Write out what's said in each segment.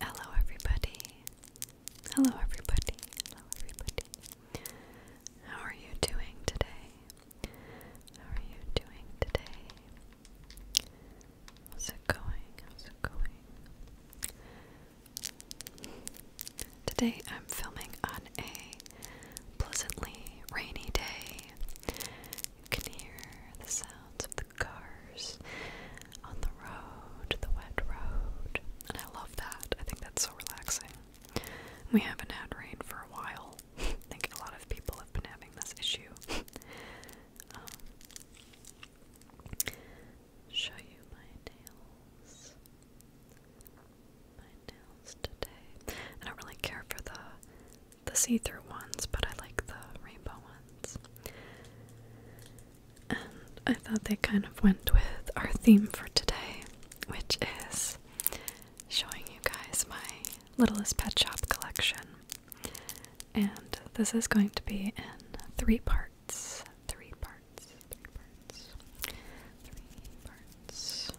Hello, everybody. Hello, everybody. Hello, everybody. How are you doing today? How are you doing today? How's it going? How's it going? Today I'm filming on a pleasantly rainy day. You can hear the sounds of the cars on the road, the wet road. And I love that. I think that's so relaxing. We haven't had rain for a while. I think a lot of people have been having this issue. Um, show you my nails. My nails today. I don't really care for the the see-through ones, but I like the rainbow ones. And I thought they kind of went with our theme for today, which is showing you guys my Littlest Pet Shop collection. And this is going to be in three parts. Three parts. Three parts. Three parts.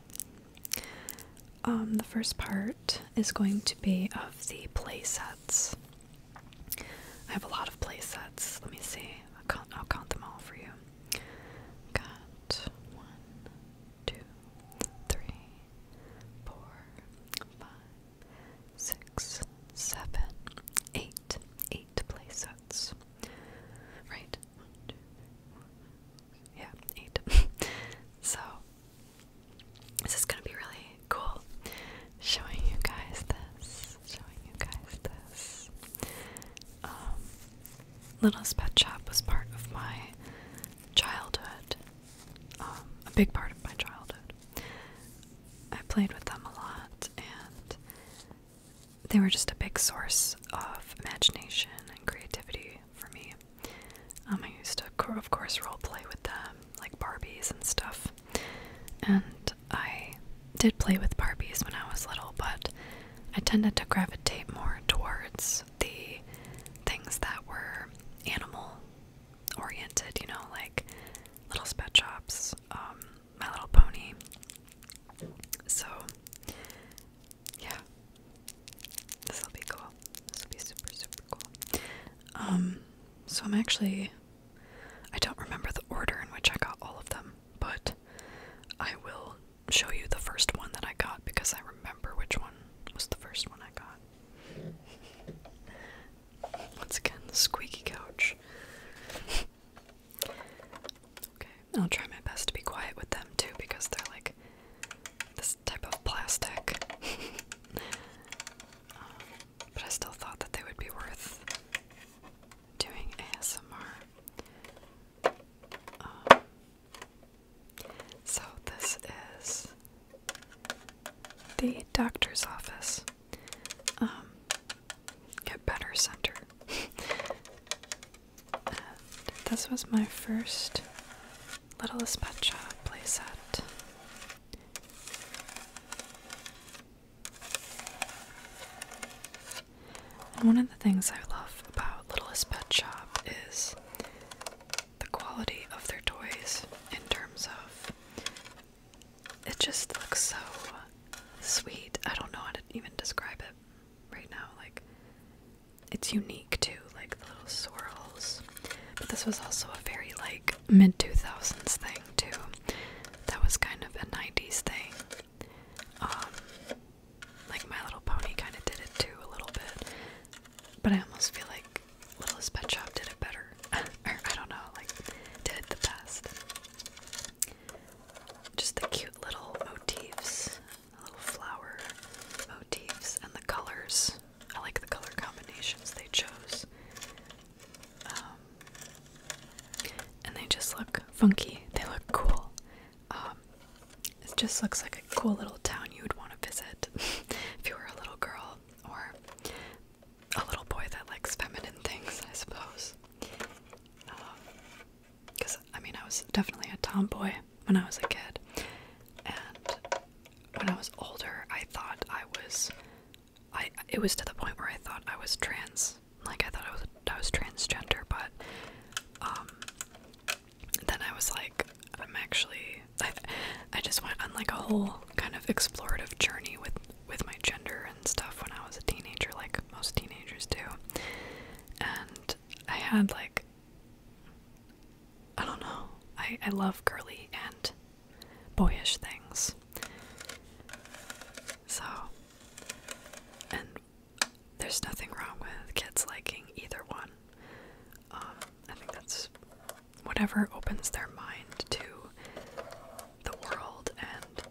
Um, the first part is going to be of the play sets. I have a lot of play sets. Let me see. I'll count, them all for you. Got one, two, three, four, five, six, seven, eight, eight play sets. Right? yeah, eight. so this is gonna be really cool. Showing you guys this. Showing you guys this. Um, Little's Pet Shop was part of my childhood. Um, a big part of my childhood. I played with them a lot, and they were just a big source of imagination and creativity for me. Um, I used to, of course, role play with them like Barbies and stuff. And I did play with Barbies when I was little, but I tended to gravitate more towards the things that were animal oriented, you know, like Little Pet Shops, um, My Little Pony. So, yeah, this will be cool. This will be super, super cool. Um, so I'm actually I don't remember the order in which I got all of them, but I will show you the first one that I got because I remember which one was the first one I got. Once again, the squeaky couch. Okay, I'll try my best to be quiet with them too because they're like this type of plastic. Um, but I still thought that they would be worth doing ASMR. Um, so, this is the doctor's office, um, Better Center. this was my first Littlest Pet Shop playset one of the things I love about Littlest Pet Shop is the quality of their toys in terms of it just looks so sweet. I don't know how to even describe it right now. Like, it's unique too, like the little swirls but this was also a very like mid 2000s thing too. That was kind of a 90s thing. Um, like My Little Pony kind of did it too a little bit. But I almost feel like Littlest Pet Shop did it better. or I don't know, like did the best. Just the cute little motifs, the little flower motifs, and the colors. I like the color combinations they chose. Um, and they just look funky. They look cool. Um, it just looks like a cool little town you would want to visit if you were a little girl or a little boy that likes feminine things, I suppose. Because, um, I mean, I was definitely a tomboy when I was a kid. And when I was older, I thought I was I it was to the point where I thought I was trans. Like I thought I was I was transgender, but um then I was like I'm actually I just went on like a whole kind of explorative journey with with my gender and stuff when I was a teenager like most teenagers do. And I had like I don't know. I I love girly and boyish things. So, and there's nothing wrong with kids liking either one. Um, I think that's whatever opens their mind to the world and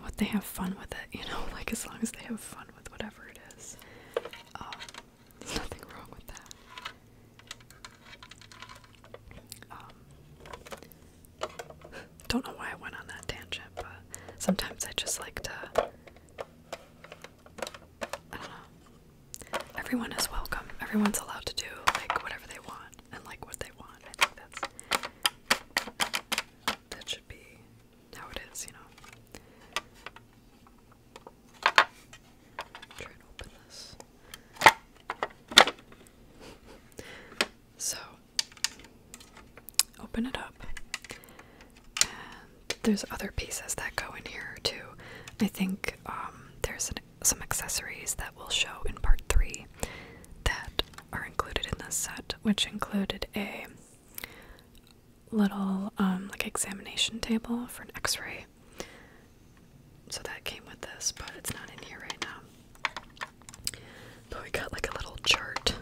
what they have fun with it, you know, like as long as they have fun with whatever it is. Um, there's nothing wrong with that. Um, don't know why I went on that tangent, but sometimes I just like to. I don't know. Everyone is welcome. Everyone's allowed to do like whatever they want and like what they want. I think that's that should be how it is, you know. Try and open this. So, open it up. And there's other pieces that go in here too. I think um, there's some accessories that we'll show in part three that are included in this set, which included a little um, like examination table for an X-ray, so that came with this, but it's not in here right now. But we got like a little chart.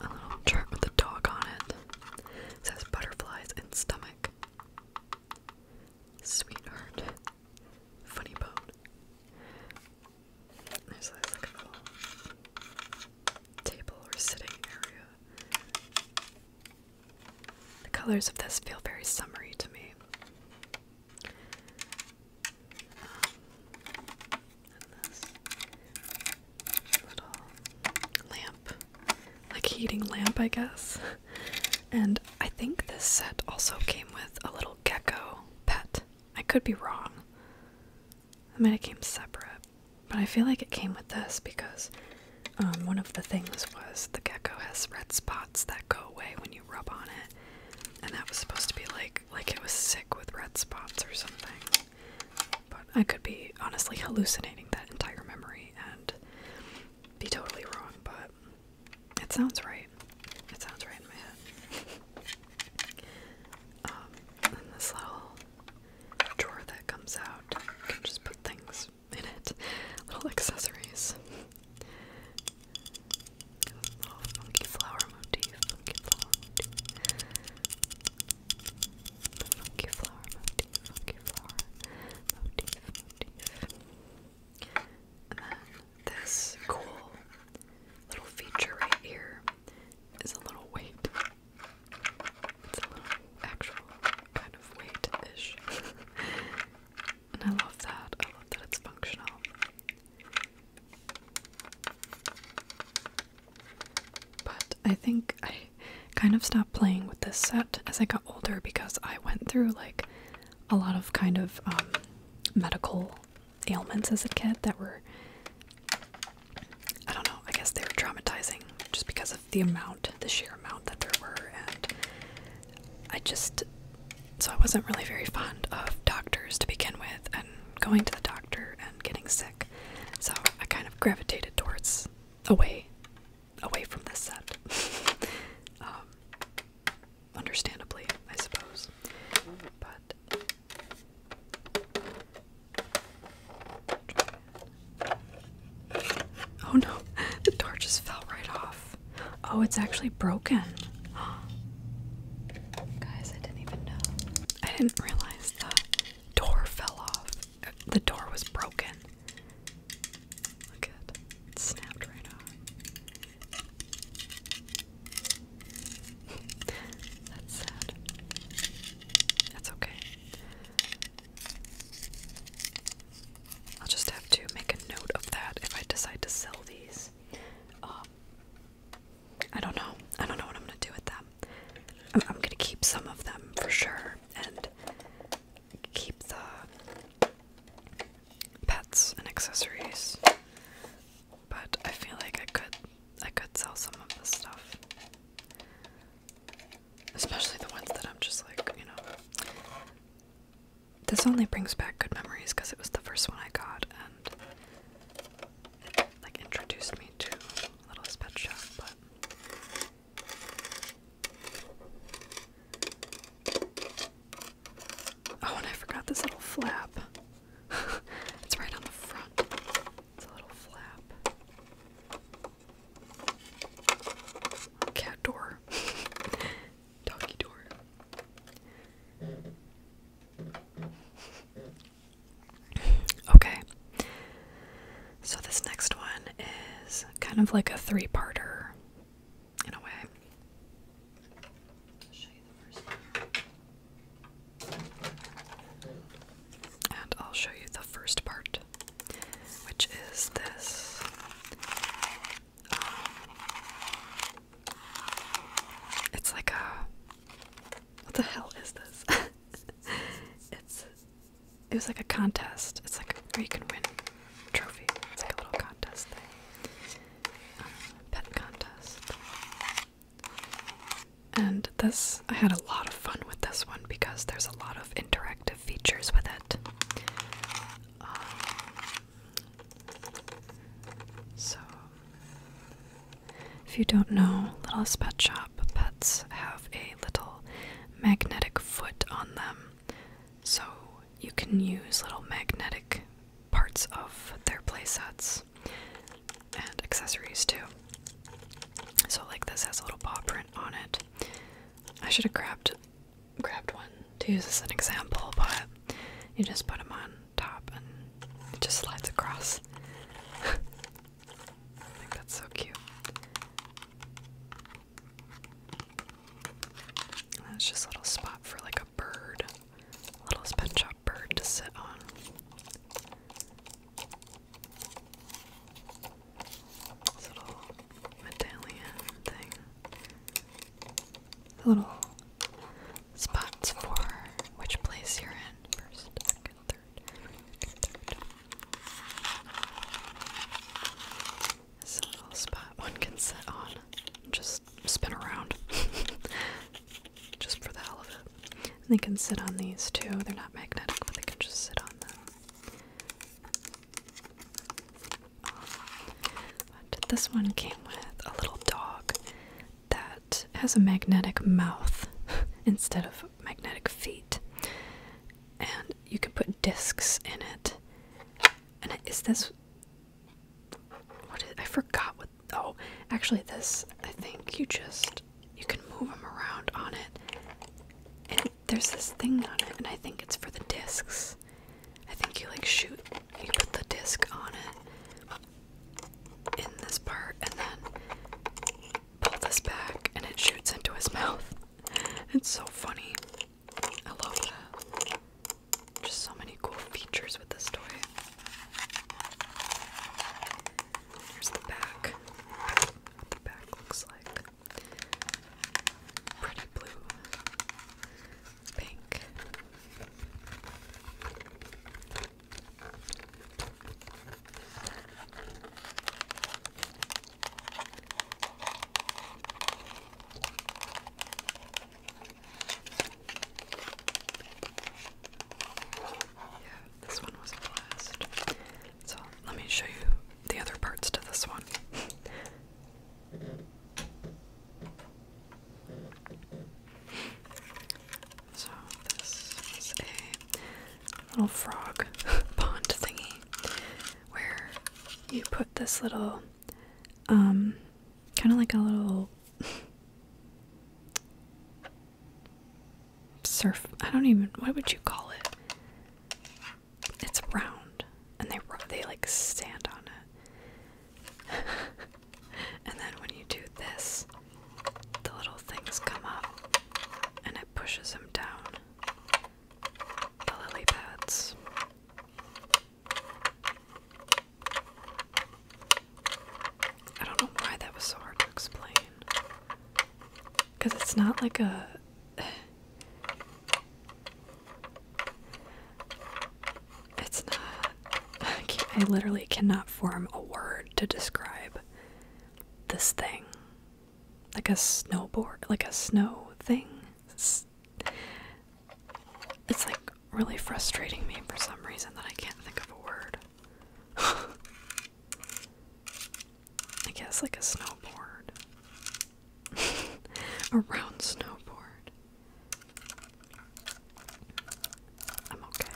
A little chart with a dog on it. It says butterflies and stomach. Sweetheart. Funny bone. There's like a little table or sitting area. The colors of this feel very summery to me. Um, this little lamp, like heating lamp, I guess. And I think this set also came with a little gecko pet. I could be wrong. I mean, it came separate, but I feel like it came with this because um, one of the things was the gecko has red spots that go away when you rub on it. And that was supposed to be like like it was sick with red spots or something. But I could be honestly hallucinating that entire memory and be totally wrong, but it sounds right. It sounds right in my head. Um, and this little drawer that comes out, you can just put things in it. Little accessories. Little flower motif. Funky flower motif. Funky flower motif. Funky flower Motif. And then this cool little feature right here is a little weight. It's a little actual kind of weight ish. And I love that. I love that it's functional. But I think I kind of stopped playing with this set as I got older because I went through like a lot of kind of um, medical ailments as a kid that were, I don't know, I guess they were traumatizing just because of the amount, the sheer amount that there were, and I just so I wasn't really very fond of doctors to begin with and going to the doctor and getting sick. So I kind of gravitated towards away away from this set. um understandably, I suppose. But Oh no, the door just fell right off. Oh, it's actually broken. Guys, I didn't even know. I didn't realize the door fell off. The door was broken. Look at It snapped right off. That's sad. That's okay. I'll just have to make a note of that if I decide to sell these. Um, I don't know. I don't know what I'm gonna do with them. I'm, gonna keep some of them for sure, and keep the pets and accessories. But I feel like I could, I could sell some of the stuff, especially the ones that I'm just like, you know this only brings back good memories because it was the first one I got and like introduced me to Littlest Pet Shop, but Oh, and I forgot this little flap. it's right on the front. It's a little flap. Cat door. Okay. So this next one is kind of like a three-parter in a way. And I'll show you the first part, which is this it's like a. What the hell is this? it's. It was like a contest. It's like a, where you can win a trophy. It's like a little contest thing. Um, pet contest. And this, I had a lot of fun with this one because there's a lot of interactive features with it. Um, so, if you don't know, Little's Pet Shop pets have a little magnetic foot on them. So, you can use little magnetic parts of their playsets and accessories too. So, like this has a little paw print on it. I should have grabbed grabbed one to use as an example, but you just put them on top and it just slides across. I think that's so cute. And just a little spot for like a bird, a little spin shop bird to sit on medallion thing. The little spots for which place you're in first, second, third, third. a little spot one can sit on just spin around. just for the hell of it. they can sit on these too. They're not magnetic, but they can just sit on them this one came with a little dog that has a magnetic mouth instead of magnetic feet. And you can put discs in it. And is this. What is. I forgot what. Oh, actually, this. I think you just. You can move them around on it. And there's this thing on it, and I think it's for the discs. I think you like shoot, you put the disc on it in this part, and then pull this back, and it shoots into his mouth. It's so funny. I love that. Just so many cool features with this toy. Here's the back. What the back looks like. Pretty blue. Yeah, this one was a blast. So let me show you the other parts to this one. So this was a little frog pond thingy where you put this little um kind of like a little surf I don't even what would you call it? It's round, and they they like stand on it. and then when you do this, the little things come up, and it pushes them down. The lily pads. I don't know why that was so hard to explain. Because it's not like a. It's not. I literally cannot form a word to describe this thing. Like a snowboard, like a snow thing. It's, it's like really frustrating me for some reason that I can't think of a word. I guess like a snowboard. a round snowboard. I'm okay.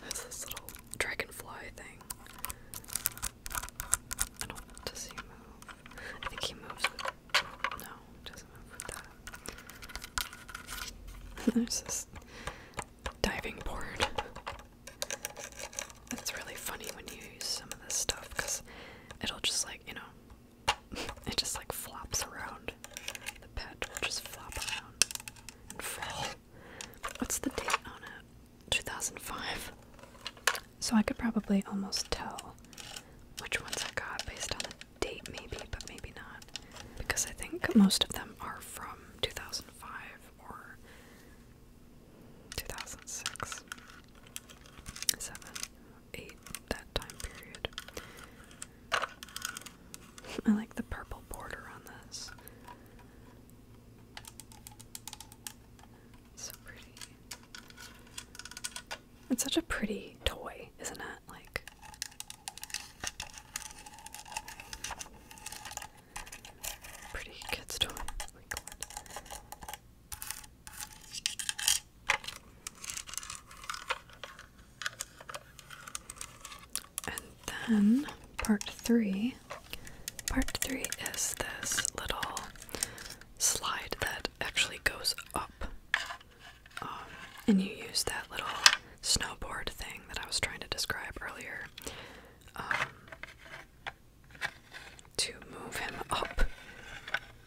There's this little dragonfly thing. I don't does he move? I think he moves with no, doesn't move with that. There's this diving board. It's really funny when you use some of this stuff because it'll just like, you know, it just like flops around. The pet will just flop around and fall. What's the date on it? 2005. So I could probably almost tell which ones I got based on the date, maybe, but maybe not. Because I think most of them are from 2005 or 2006, 7, eight that time period. I like the purple border on this. So pretty. It's such a pretty toy, isn't it? Like pretty kids toy. my God. And then part three. Part three is this little slide that actually goes up. Um, and you use that little snowboard thing that I was trying to describe earlier. Um, to move him up.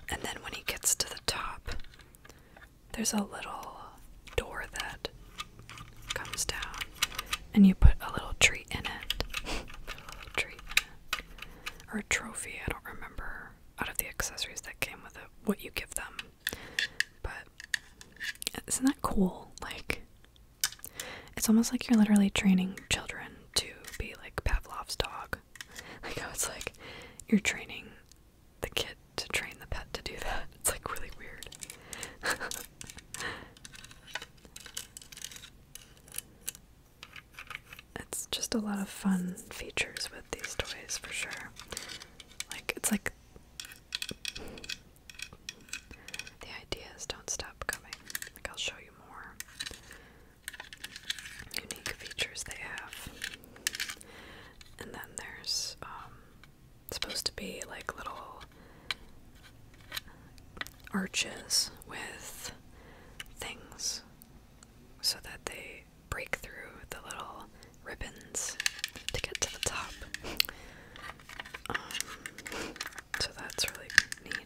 And then when he gets to the top, there's a little door that comes down, and you put a little tree in it. in it. Or a trophy, I don't remember out of the accessories that came with it what you give them. But isn't that cool? Like, it's almost like you're literally training children to be like Pavlov's dog dog. Like I was like, you're training the kid to train the pet to do that. It's like really weird. it's just a lot of fun features with these toys for sure. Like it's like the ideas don't stop coming. Like I'll show you more unique features they have. And then there's um, supposed to be like little arches with things so that they break through the little ribbons to get to the top. Um, so that's really neat. I,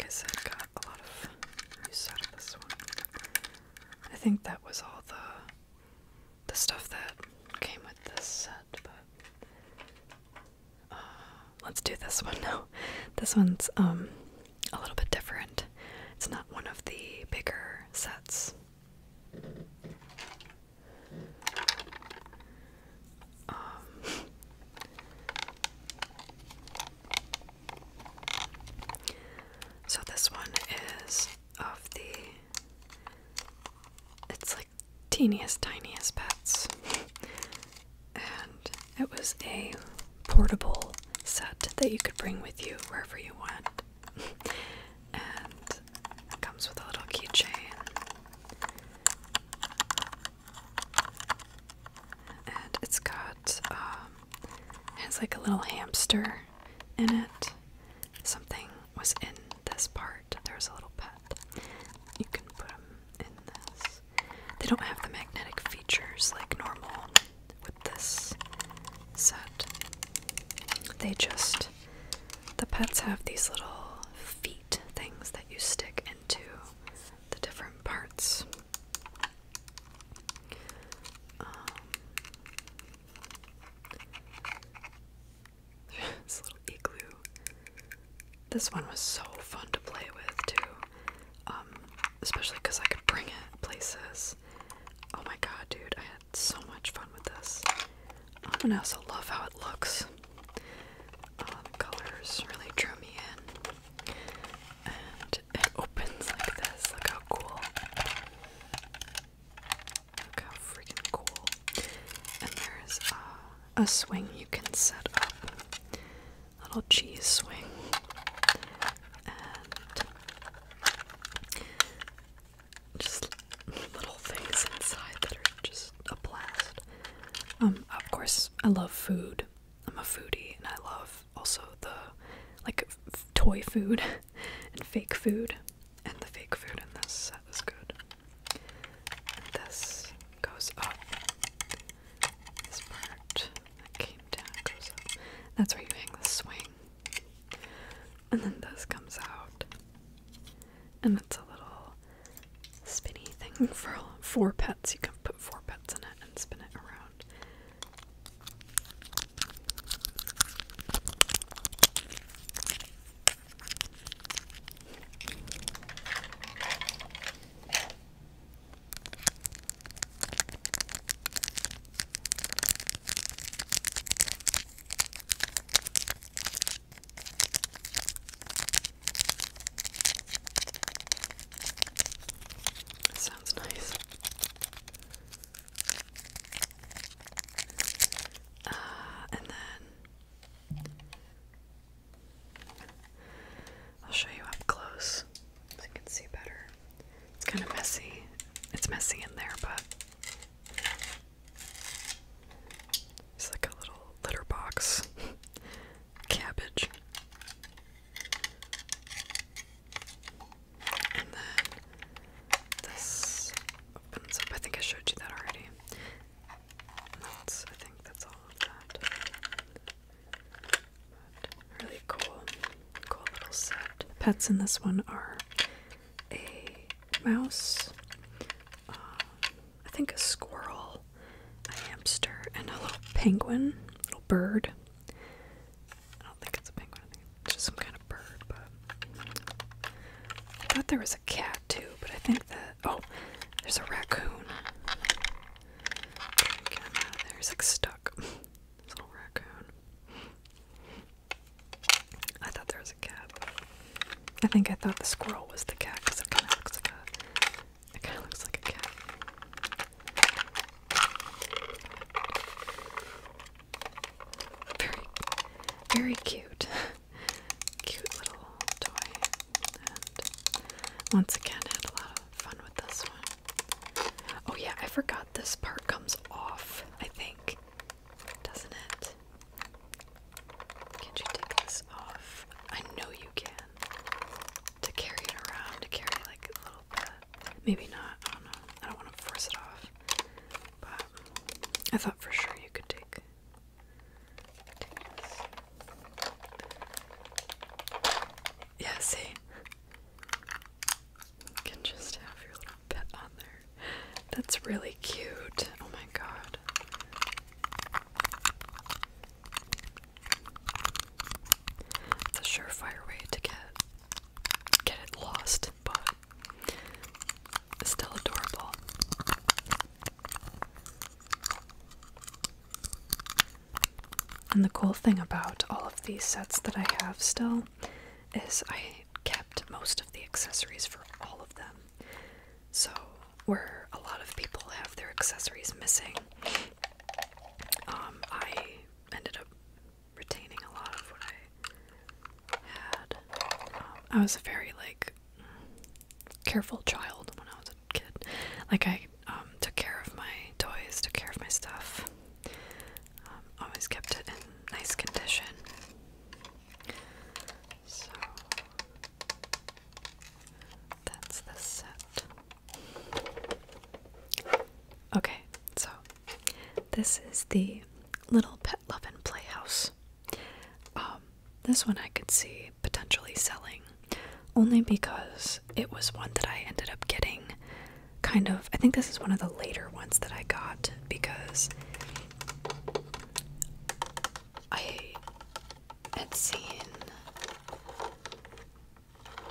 like I got a lot of use out of this one. I think that was all the the stuff that came with this set, but uh, let's do this one now. This one's um a little bit different. It's not one of the bigger sets. Um, so this one is of the it's like teeniest tiniest pets and it was a portable set that you could bring with you wherever you went. and it comes with a little keychain. And it's got, um, it has like a little hamster in it. Something was in this part. There's a little pet. You can put them in this. They don't have the magnetic features like normal with this set. They just the pets have these little feet things that you stick into the different parts. Um, this little igloo. This one was so fun to play with too, um, especially because I could bring it places Oh my god, dude, I had so much fun with this. Um, I also love how it looks. Uh, the colors really drew me in. And it opens like this. Look how cool. Look how freaking cool. And there's uh, a swing you can set up. little cheese swing. Just little things inside that are just a blast. Um, of course, I love food. I'm a foodie, and I love also the like toy food and fake food. And the fake food in this set is good. And this goes up. This part that came down goes up. That's where you hang the swing. And then this comes out. And it's a little spinny thing for four pets. You can put four pets in it and spin it around sounds nice. Uh, and then I'll show you up close so you can see better. It's kind of messy. It's messy in there, but it's like a little litter box. Cabbage. And then this opens up. I think I showed you that already. That's, I think that's all of that really cool, cool little set. Pets in this one are a mouse, uh, I think a squirrel, a hamster, and a little penguin, little bird. I don't think it's a penguin. it's just some kind of bird. But I thought there was a cat too, but I think that oh, there's a raccoon. Get like stuck. little raccoon. I thought there was a cat. I think I thought the squirrel was the cat because it kind of looks like a. It kind of looks like a cat. Very, very cute. Cute little toy. And once again, had a lot of fun with this one. Oh yeah, I forgot this part comes off, I think. Doesn't it? Can't you take this off? I know you can. To carry it around, to carry like a little bit. Maybe not, I don't know. I don't want to force it off. But I thought for sure you could take Yeah, see can just have your little pet on there. That's really cute. Oh my god. It's surefire way to get get it lost, but still adorable. And the cool thing about all of these sets that I have still is I kept most of the accessories for all of them. So, where a lot of people have their accessories missing, um, I ended up retaining a lot of what I had. Um, I was a very, like, careful child when I was a kid. Like, I um, took care of my toys, took care of my stuff. Um, always kept it in nice condition. So that's the set. Okay, so this is the Little Pet Love and Playhouse. Um, this one I could see potentially selling only because it was one that I ended up getting kind of. I think this is one of the later ones that I got because I had seen.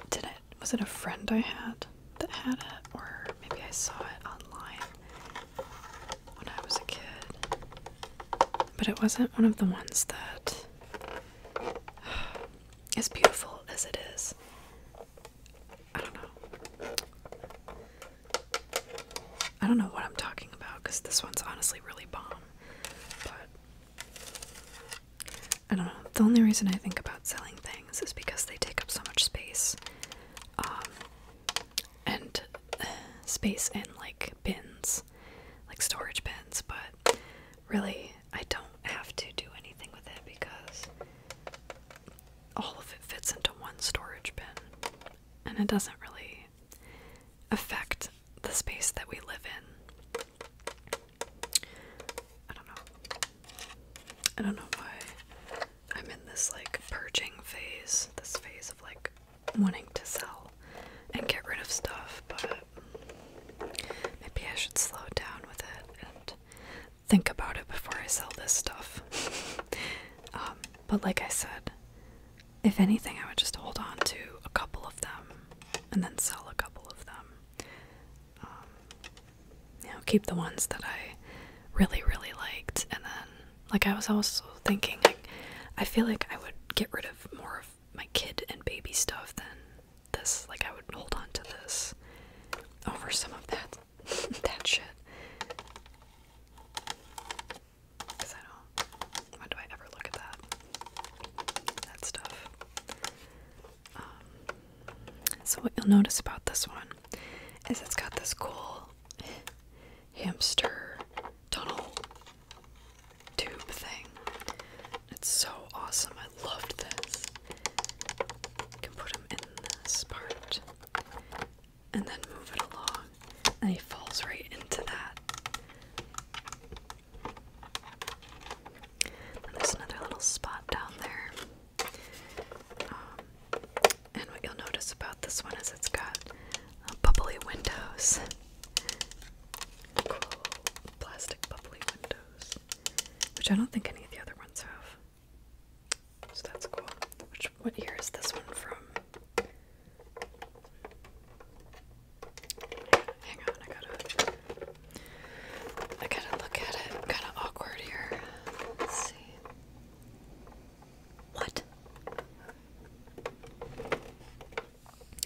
Did it? Was it a friend I had that had it, or maybe I saw it online when I was a kid? But it wasn't one of the ones that, as beautiful as it is, I don't know. I don't know what I'm talking about because this one's honestly really bomb. But I don't know. The only reason I think about selling things is because they take up so much space. Um, and uh, space in like bins, like storage bins, but really I don't have to do anything with it because all of it fits into one storage bin and it doesn't really affect the space that we live in. I don't know. I don't know why I'm in this like purging phase, this phase of like wanting to sell and get rid of stuff, but maybe I should slow down with it and think about it before I sell this stuff. Um, but like I said, if anything, I would just hold on to a couple of them and then sell a couple of them. Um, you know, keep the ones that I really, really liked, and then, like, I was also thinking, like, I feel like I would get rid of more of my kid and baby stuff than this. Like, I would hold on to this over some of that that shit. Cause I don't. When do I ever look at that? That stuff. Um, so what you'll notice about this one is it's got this cool hamster tunnel tube thing. It's so awesome. I loved this can put him in this part and then move it along, and he falls right into that. there's another little spot down there. Um, and what you'll notice about this one is it's got bubbly windows. Cool plastic bubbly windows. Which I don't think any of the other ones have. So that's cool. Which what year is this one from? Hang on, I gotta I gotta look at it. kinda awkward here. Let's see. What?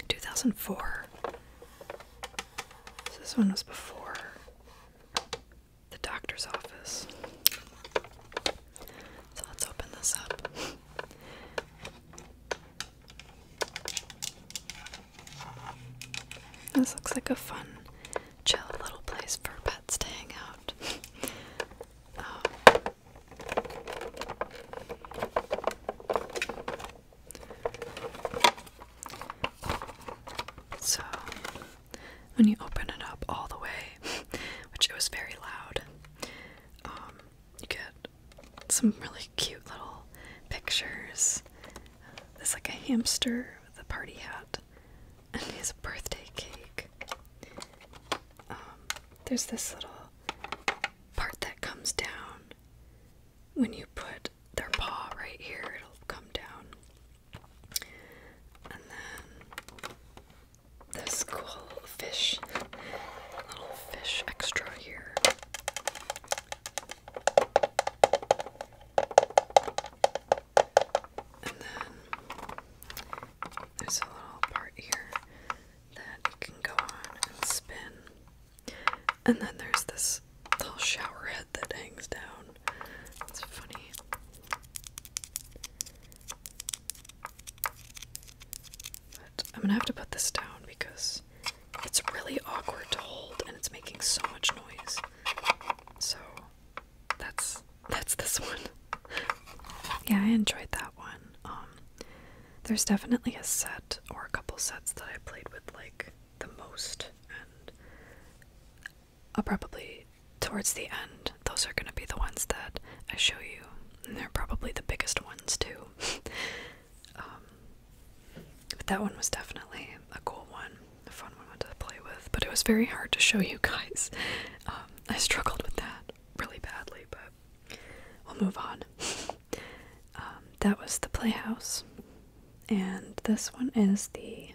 2004. So this one was before the doctor's office. So let's open this up. This looks like a fun, chill little place for pets to hang out. Um, so, when you open it up all the way, which it was very loud. Um, you get some really cute little pictures. There's like a hamster with a party hat, and he has a birthday cake. Um, there's this little part that comes down when you put their paw right here, it'll come down. And then this cool fish, little fish extra here. And then there's a little part here that can go on and spin. And then there's this little shower head that hangs down. That's funny. I'm gonna have to put this down because it's really awkward to hold and it's making so much noise. So that's that's this one. yeah, I enjoyed that one. Um there's definitely a set or a couple sets that I played with like the most and I'll probably, towards the end, those are gonna be the ones that I show you. And they're probably the biggest ones, too. Um, but that one was definitely a cool one, a fun one to play with. But it was very hard to show you guys. Um, I struggled with that really badly, but we'll move on. Um, that was the Playhouse and this one is the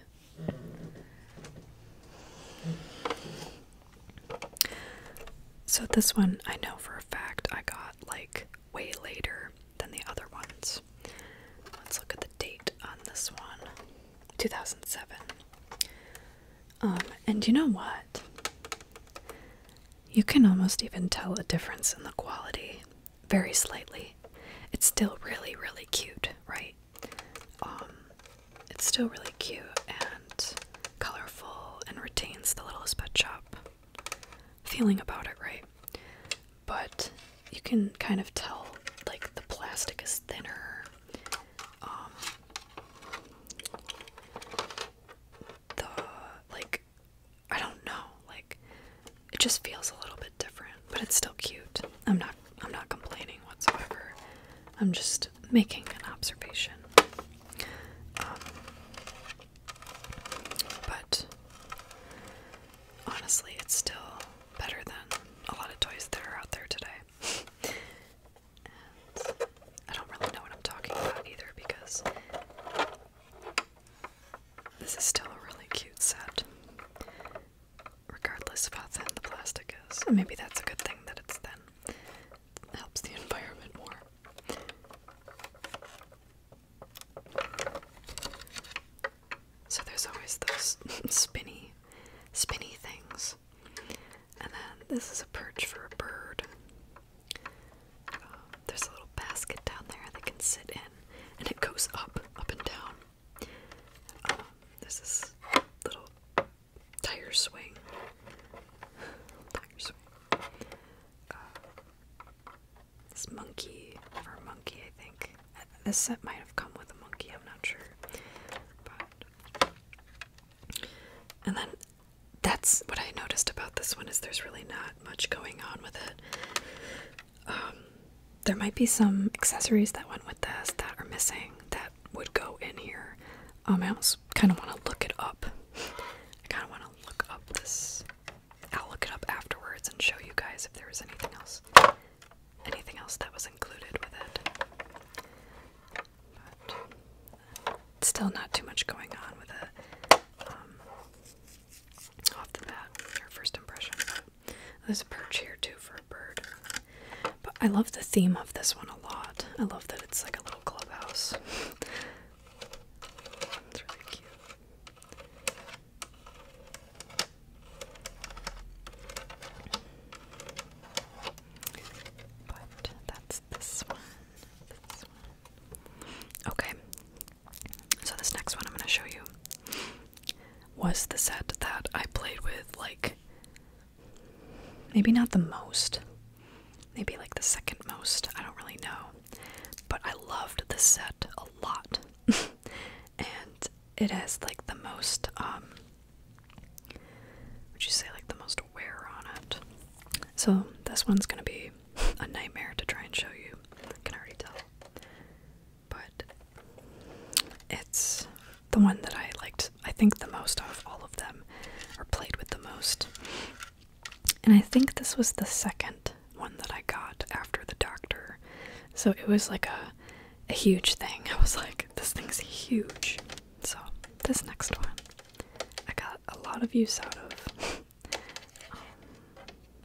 so this one I know for a fact I got like way later than the other ones. Let's look at the date on this one. 2007. Um and you know what? You can almost even tell a difference in the quality very slightly. It's still really really cute, right? Um, it's still really cute and colorful and retains the Littlest Pet Shop feeling about it, right? But you can kind of tell, like, the plastic is thinner. Um, the, like, I don't know, like, it just feels a little bit different, but it's still cute. I'm not I'm not complaining whatsoever. I'm just making an observation. Um, but honestly, it's still better than a lot of toys that are out there today. and I don't really know what I'm talking about either because this is still a really cute set regardless of how thin the plastic is. And maybe that's a good thing that it's thin. It helps the environment more. So there's always those spinny, spinny things. And then this is a perch for a bird. Uh, there's a little basket down there they can sit in, and it goes up, up and down. Um, there's this little tire swing. Uh, this monkey, or monkey, I think. This set might have come with a monkey, I'm not sure. And then that's what I noticed about this one is there's really not much going on with it. Um, there might be some accessories that went with this that are missing that would go in here. Um, I almost kind of want to look it up. I kind of want to look up this. I'll look it up afterwards and show you guys if there was anything else, anything else that was included with it. still, not too much going on with it. Um, off the bat, your first impression. There's a perch here too for a bird. But I love the theme of this one a lot. I love that it's like a little clubhouse. it's really cute. But that's this one. This one. Okay. So this next one I'm going to show you was the set that I played with, like, maybe not the most, maybe like the second most, I don't really know. But I loved the set a lot. and it has like the most, um, would you say like the most wear on it? So this one's gonna be a nightmare to try and show you. I can already tell but it's the one that I liked, I think, the most of all of them, or played with the most. And I think this was the second one that I got after The Doctor. So it was like a, a huge thing. I was like, this thing's huge. So this next one, I got a lot of use out of. Um,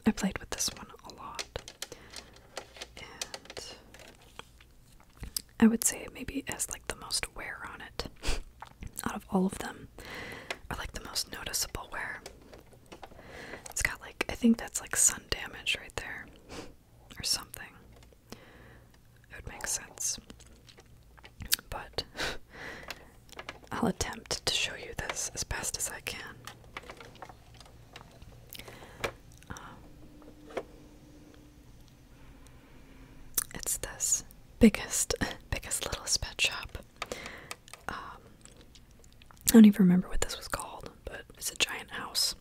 I played with this one a lot. I would say maybe it has like the most wear on it out of all of them, or like the most noticeable wear. It's got like, I think that's like sun damage right there, or something. It would make sense. But I'll attempt to show you this as best as I can. Um, it's this biggest, biggest littlest pet shop. Um, I don't even remember what this was called, but it's a giant house.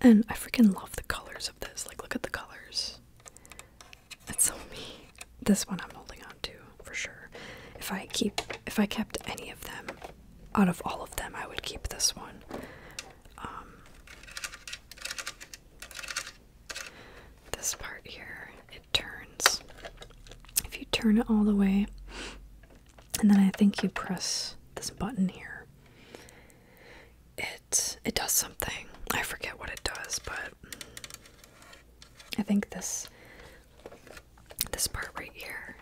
And I freaking love the colors of this. Like, look at the colors. That's so me. This one I'm holding on to for sure. If I keep, if I kept any of them, out of all of them, I would keep this one. Um, this part here, it turns. If you turn it all the way, and then I think you press this button here. It it does something. I forget what it does, but I think this this part right here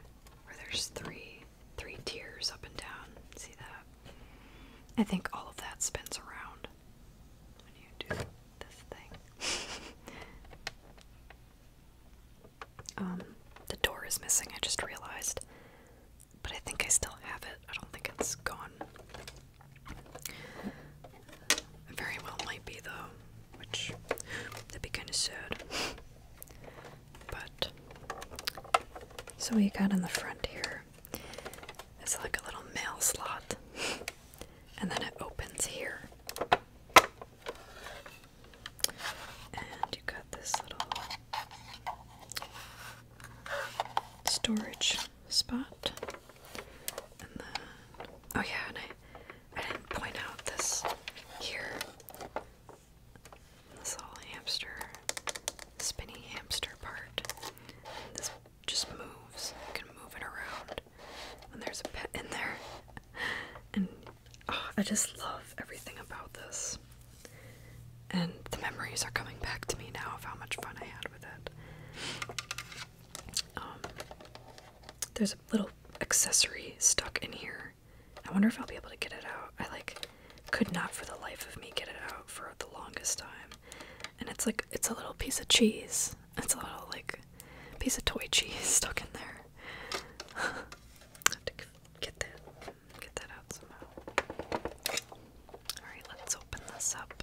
where there's three three tiers up and down. See that? I think all of that spins around when you do this thing. um, the door is missing, I just realized. But I think I still have it. I don't think it's gone. Very well might be though, which that'd be kinda sad. But so we got on the front here. It's like a little mail slot, and then it opens here. And you got this little storage spot. And then, oh yeah, and I didn't point out this here this little hamster, spinning hamster part. this just moves. You can move it around. And there's a pet in there. And oh, I just love everything about this. And the memories are coming back to me now of how much fun I had with it. Um, there's a little accessory stuck in here I wonder if I'll be able to get it out. I like could not for the life of me get it out for the longest time. And it's like it's a little piece of cheese. It's a little like piece of toy cheese stuck in there. have to get that get that out somehow. Alright, let's open this up.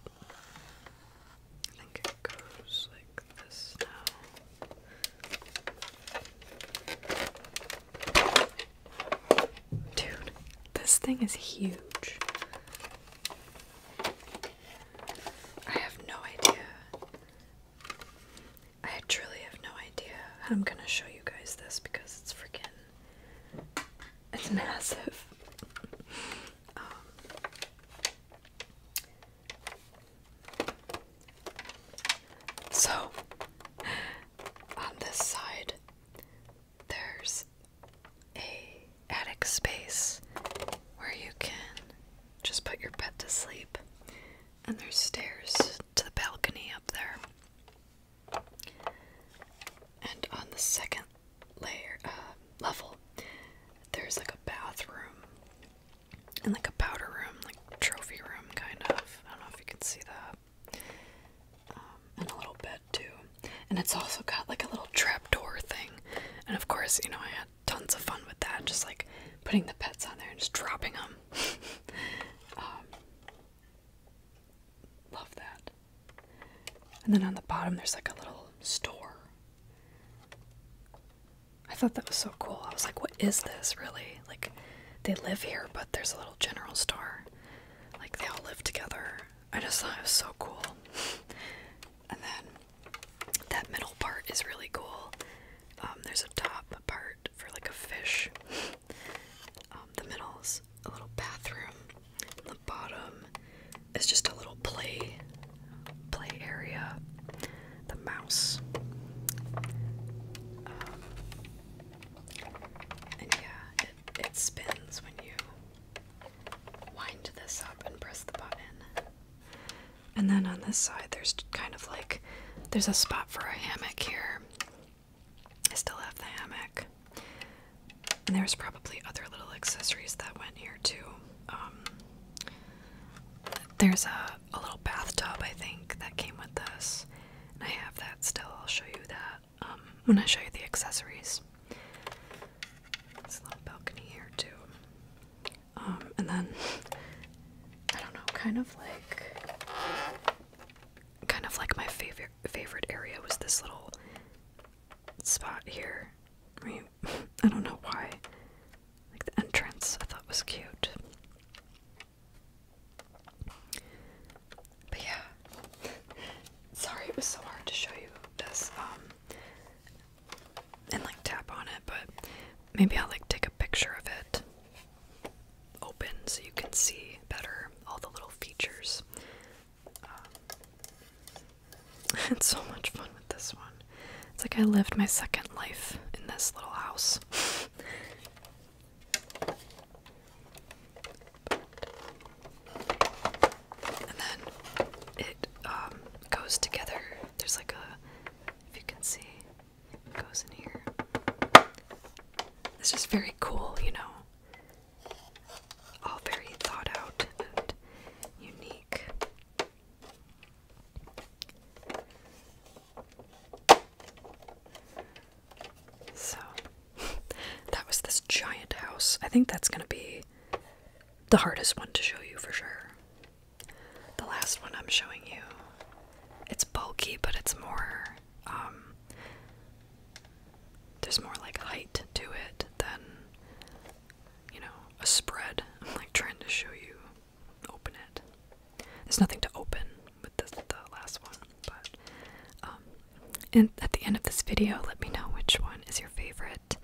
I think it goes like this now. Dude, this thing is huge. I have no idea. I truly have no idea I'm gonna show you guys this because it's freaking. It's massive. Um, so, on this side, there's a attic space where you can just put your pet to sleep, and there's stairs to the balcony up there. And on the second layer uh, level, there's like a bathroom and like a powder room, trophy room kind of. I don't know if you can see that. Um, and a little bed too. And it's also got like a little trapdoor thing. And of course, you know, I had tons of fun with that, just like putting the pets on there and just dropping them. Um, love that. And then on the bottom, there's like a little store. I thought that was so cool. I was like, what is this really? Like they live here, but there's a little general store. Like they all live together. I just thought it was so cool. and then that middle part is really cool. Um, there's a top part for like a fish. um, the middle's a little bathroom. The bottom is just a little play play area. The mouse. Um, and yeah, it, it spins when you wind this up and press the button. And then on this side, there's kind of like there's a spot for a hammock here. I still have the hammock. And there's probably other little accessories that went here too. Um, there's a a little bathtub, I think, that came with this. And I have that still. I'll show you that um, when I show you the accessories. It's little balcony here, too. Um, and then, I don't know, kind of like, kind of like my favorite favorite area was this little spot here. I, mean, I don't know why. Like the entrance, I thought was cute. But yeah, sorry it was so hard to show you this um, and like tap on it, but maybe I'll like take a picture of it open so you can see better all the little features. Um, it's so much fun with this one. It's like I lived my second life in this little house. And then it um, goes together. There's like a, if you can see, goes in here. It's just very cool, you know. All very thought out and unique. So that was this giant house. I think that's going to be the hardest one to show you for sure. The last one I'm showing you. It's bulky, but it's more um, there's more like height to it than you know, a spread. I'm like trying to show you open it. There's nothing to open with the last one, but um, and at the end of this video, let me know which one is your favorite,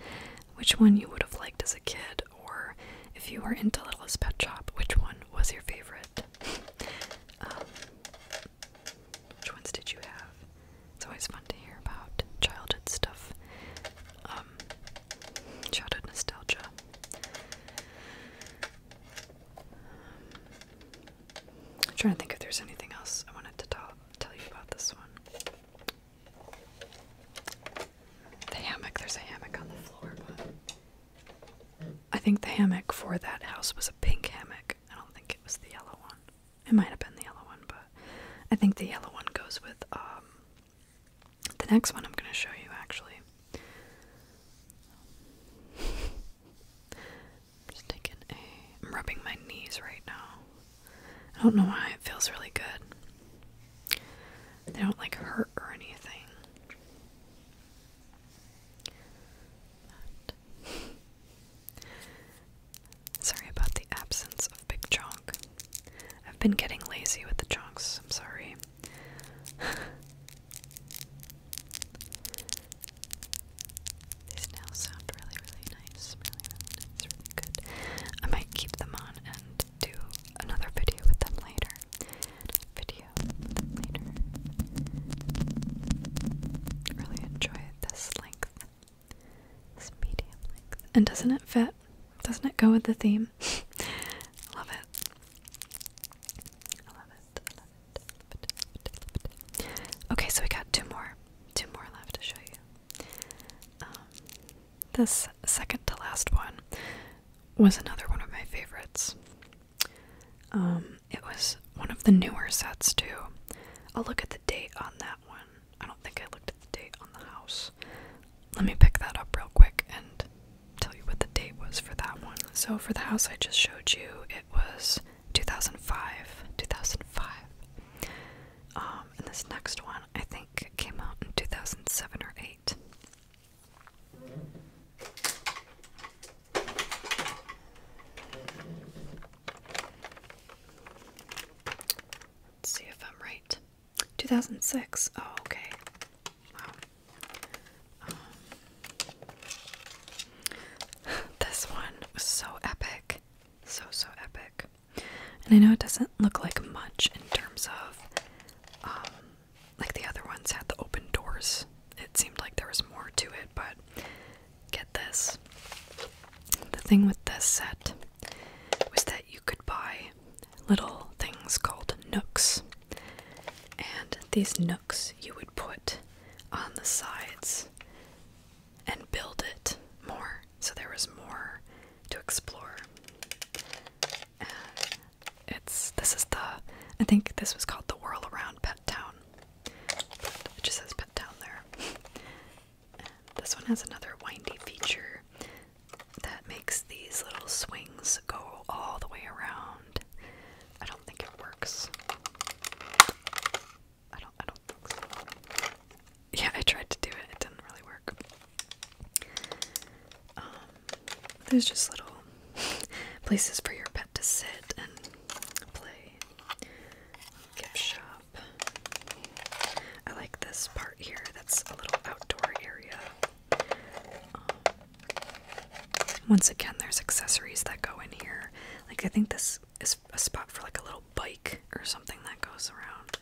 which one you would have liked as a kid, or if you were into Littlest Pet Shop, which one was your favorite? Um, which ones did you have? It's always fun to hear about childhood stuff, um, childhood nostalgia. I'm trying to think if there's anything else I wanted to talk, tell you about this one. The hammock, there's a hammock on the floor, but I think the hammock for that house was a pink hammock. I don't think it was the yellow one. It might have been the yellow one, but I think the yellow one goes with um the next one I'm going to show you actually. I'm just taking a. I'm rubbing my knees right now. I don't know why it feels really good. They don't like hurt or anything. sorry about the absence of big chonk. I've been getting lazy with the chonks. I'm sorry. These nails sound really, really nice. Really, really good. I might keep them on and do another video with them later. Video with them later. Really enjoy this length. This medium length. And doesn't it fit? Doesn't it go with the theme? Love it. I love it. Okay, so we got two more, two more left to show you. Um, this second to last one was another one of my favorites. Um, it was one of the newer sets too. I'll look at the date on that one. I don't think I looked at the date on the house. Let me pick that up real quick and tell you what the date was for that one. So for the house I just showed you, it was 2005, 2005. Um, and this next one I think came out in 2007 or 8. Let's see if I'm right. 2006. Oh, okay. Wow. Um, this one was so epic. So, so epic. And I know it doesn't look like much in terms of, um, like the other ones had the open doors. It seemed like there was more to it, but get this. The thing with this set was that you could buy little things called nooks. And these nooks you would put on the sides and build it more so there was more to explore. it's this is the I think this was called the Whirl Around Pet Town. But it just says Pet Town there. this one has another windy feature that makes these little swings go all the way around. I don't think it works. I don't I don't think so. Yeah, I tried to do it, it didn't really work. Um, there's just little places for your pet to sit and play. Gift shop. I like this part here. That's a little outdoor area. Um, once again, there's accessories that go in here. Like, I think this is a spot for like a little bike or something that goes around.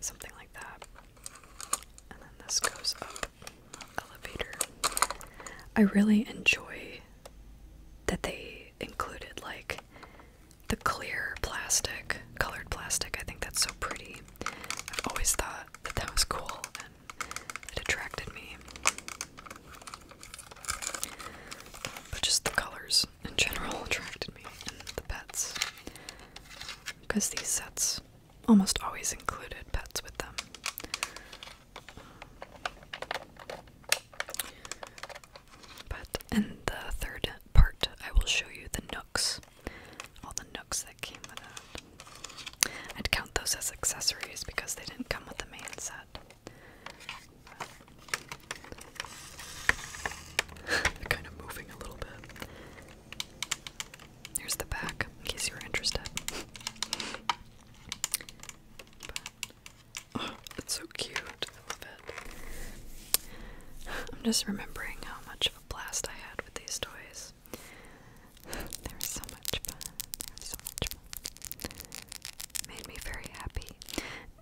Something like that. And then this goes up elevator. I really enjoy that they included like the clear plastic, colored plastic. I think that's so pretty. I've always thought that that was cool, it attracted me. But just the colors in general attracted me, and the pets. Because these sets almost always included pets with them. But in the third part, I will show you the nooks. All the nooks that came with it. I'd count those as accessories because they didn't come with the main set. kind of moving a little bit. Here's the back, in case you are interested. But, oh, it's so cute. I love it. I'm just remembering how much of a blast I had with these toys. There was so much fun. There was so much fun. Made me very happy.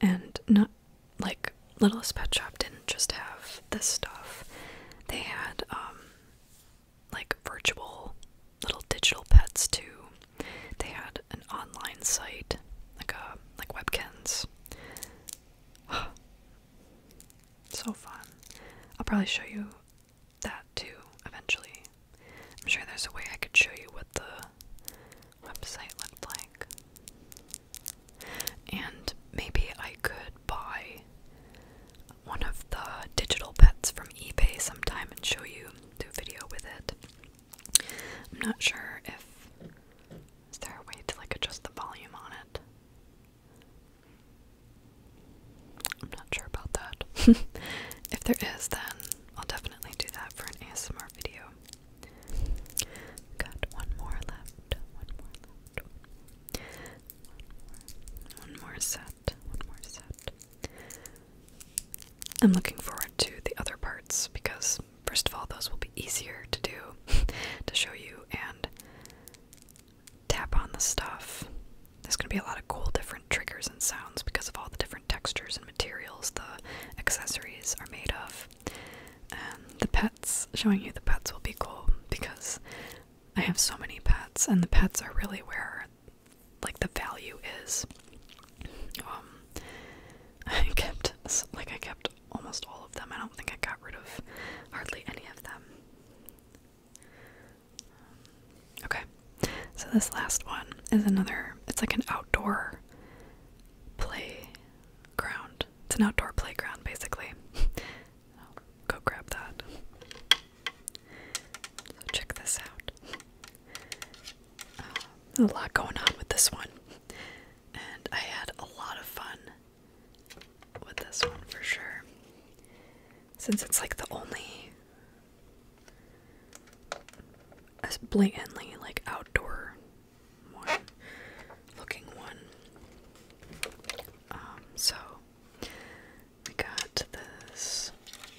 And not like Littlest Pet Shop didn't just have this stuff. They had um like virtual little digital pets too. They had an online site, like a uh, like webkins. so fun. I'll probably show you that too eventually. I'm sure there's a way I could show you what the website looked like. And maybe I could buy one of the digital pets from eBay sometime and show you, do a video with it. I'm not sure if. Is there a way to like adjust the volume on it? I'm not sure about that. if there is, then I'll definitely do that for an ASMR video. Got one more left. One more left. One more, one more set. One more set. I'm looking forward to the other parts because, first of all, those will be easier to do, to show you, and tap on the stuff. There's going to be a lot of cool different triggers and sounds because of all the different textures and materials the accessories are made of. And the pets, showing you the pets will be cool because I have so many pets, and the pets are really where like the value is. Um, I kept like I kept almost all of them. I don't think I got rid of hardly any of them okay, so this last one is another, it's like an outdoor playground. It's an outdoor playground, basically. go grab that. So check this out. Uh, a lot going on with this one, and I had a lot of fun with this one for sure. Since it's like the only as blatantly like outdoor one looking one. Um, so we got this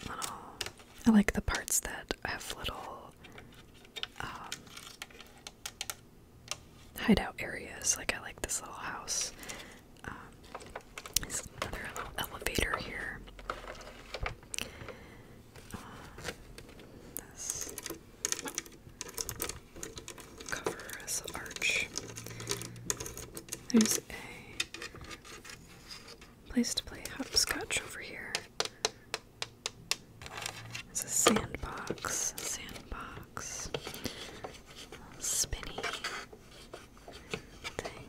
little. I like the parts that have little um, hideout areas. Like I like this little house um, there's another little elevator here. Uh, this cover arch. There's a place to play hopscotch over here. It's a sandbox, sandbox, spinny thing.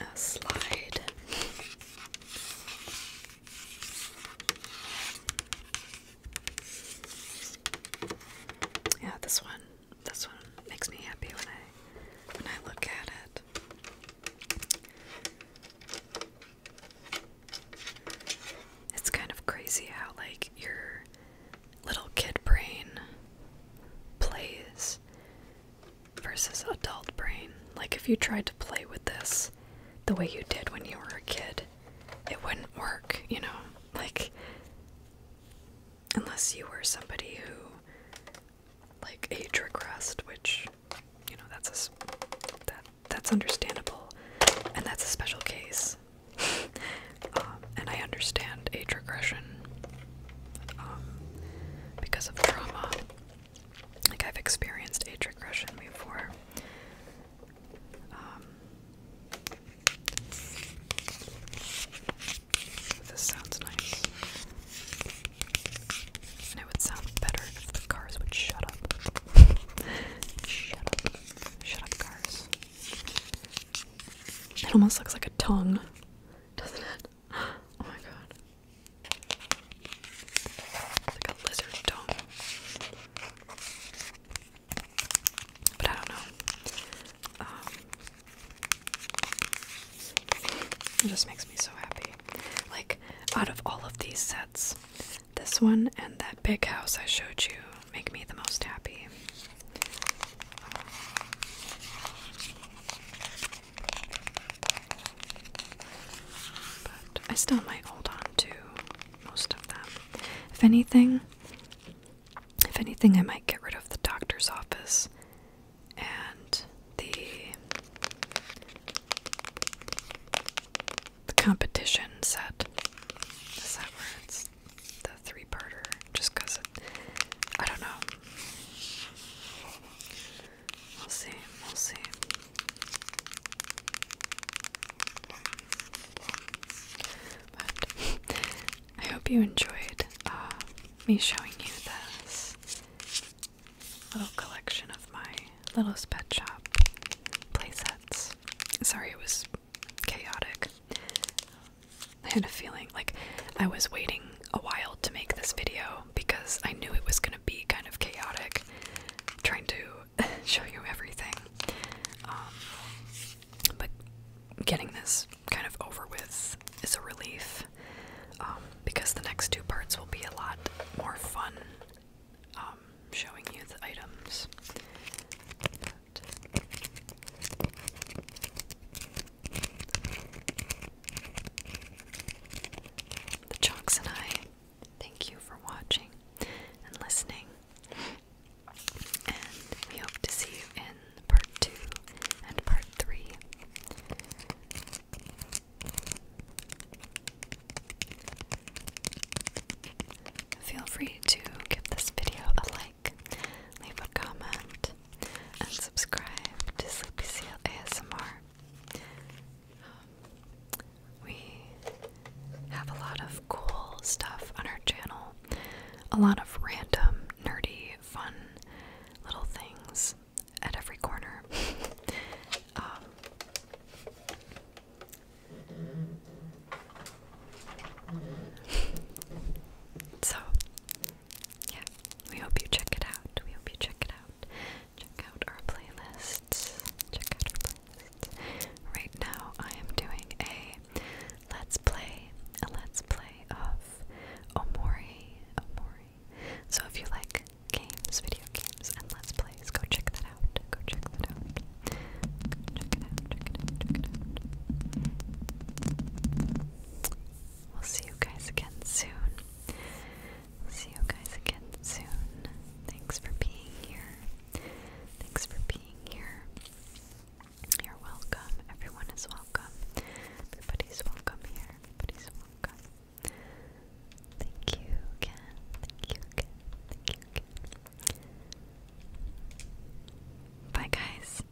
A slide. Yeah, this one. This one makes me happy when I when I look at it. It's kind of crazy how like you're little kid brain plays versus adult brain. Like, if you tried to play with this the way you did when you were a kid, it wouldn't work, you know? Like, unless you were somebody who, like, age regressed, which, you know, that's a, that, that's understandable, and that's a special case. Um, and I understand age regression um, because of trauma. Like, I've experienced age regression before. Um, this sounds nice. it would sound better if the cars would shut up. shut up. Shut up, cars. It almost looks like a tongue doesn't it? Oh my god. like a lizard dome. But I don't know. Um, it just makes me so happy. Like, out of all of these sets, this one and that big house I showed you make me the most happy. I still might hold on to most of them. If anything, if anything, I might get rid of the doctor's office and the the competition set. Is that where the three parter just because I don't know. We'll see, we'll see. But I hope you enjoyed uh, me showing you this little collection of my little pet shop playsets. Sorry, it was chaotic. I had a feeling like I was waiting a while to make this video because I knew it was gonna be kind of chaotic trying to show you everything. Um, but getting this kind of over with is a relief um, because the next two parts will be a lot more fun um, showing you the items. The Chalks and I thank you for watching and listening. And we hope to see you in part two and part three. Feel free to give this video a like, leave a comment, and subscribe to Sleepy Seal ASMR. Um, we have a lot of cool stuff on our channel, a lot of random, nerdy, fun little things at every corner. Um, so, yeah, we hope you check it out. We hope you check it out. Check out our playlists. Check out our playlists. Right now, I am doing a let's play, a let's play of Omori, Omori. So if you like games, video games, and let's plays, go check that out. Go check that out. Go check it out. Check it out. Check it out. We'll see you guys again soon. see you guys again soon. Thanks for being here. Thanks for being here. You're welcome. Everyone is welcome. Everybody's welcome here. Everybody's welcome. Thank you again. Thank you again. Thank you again. Bye, guys.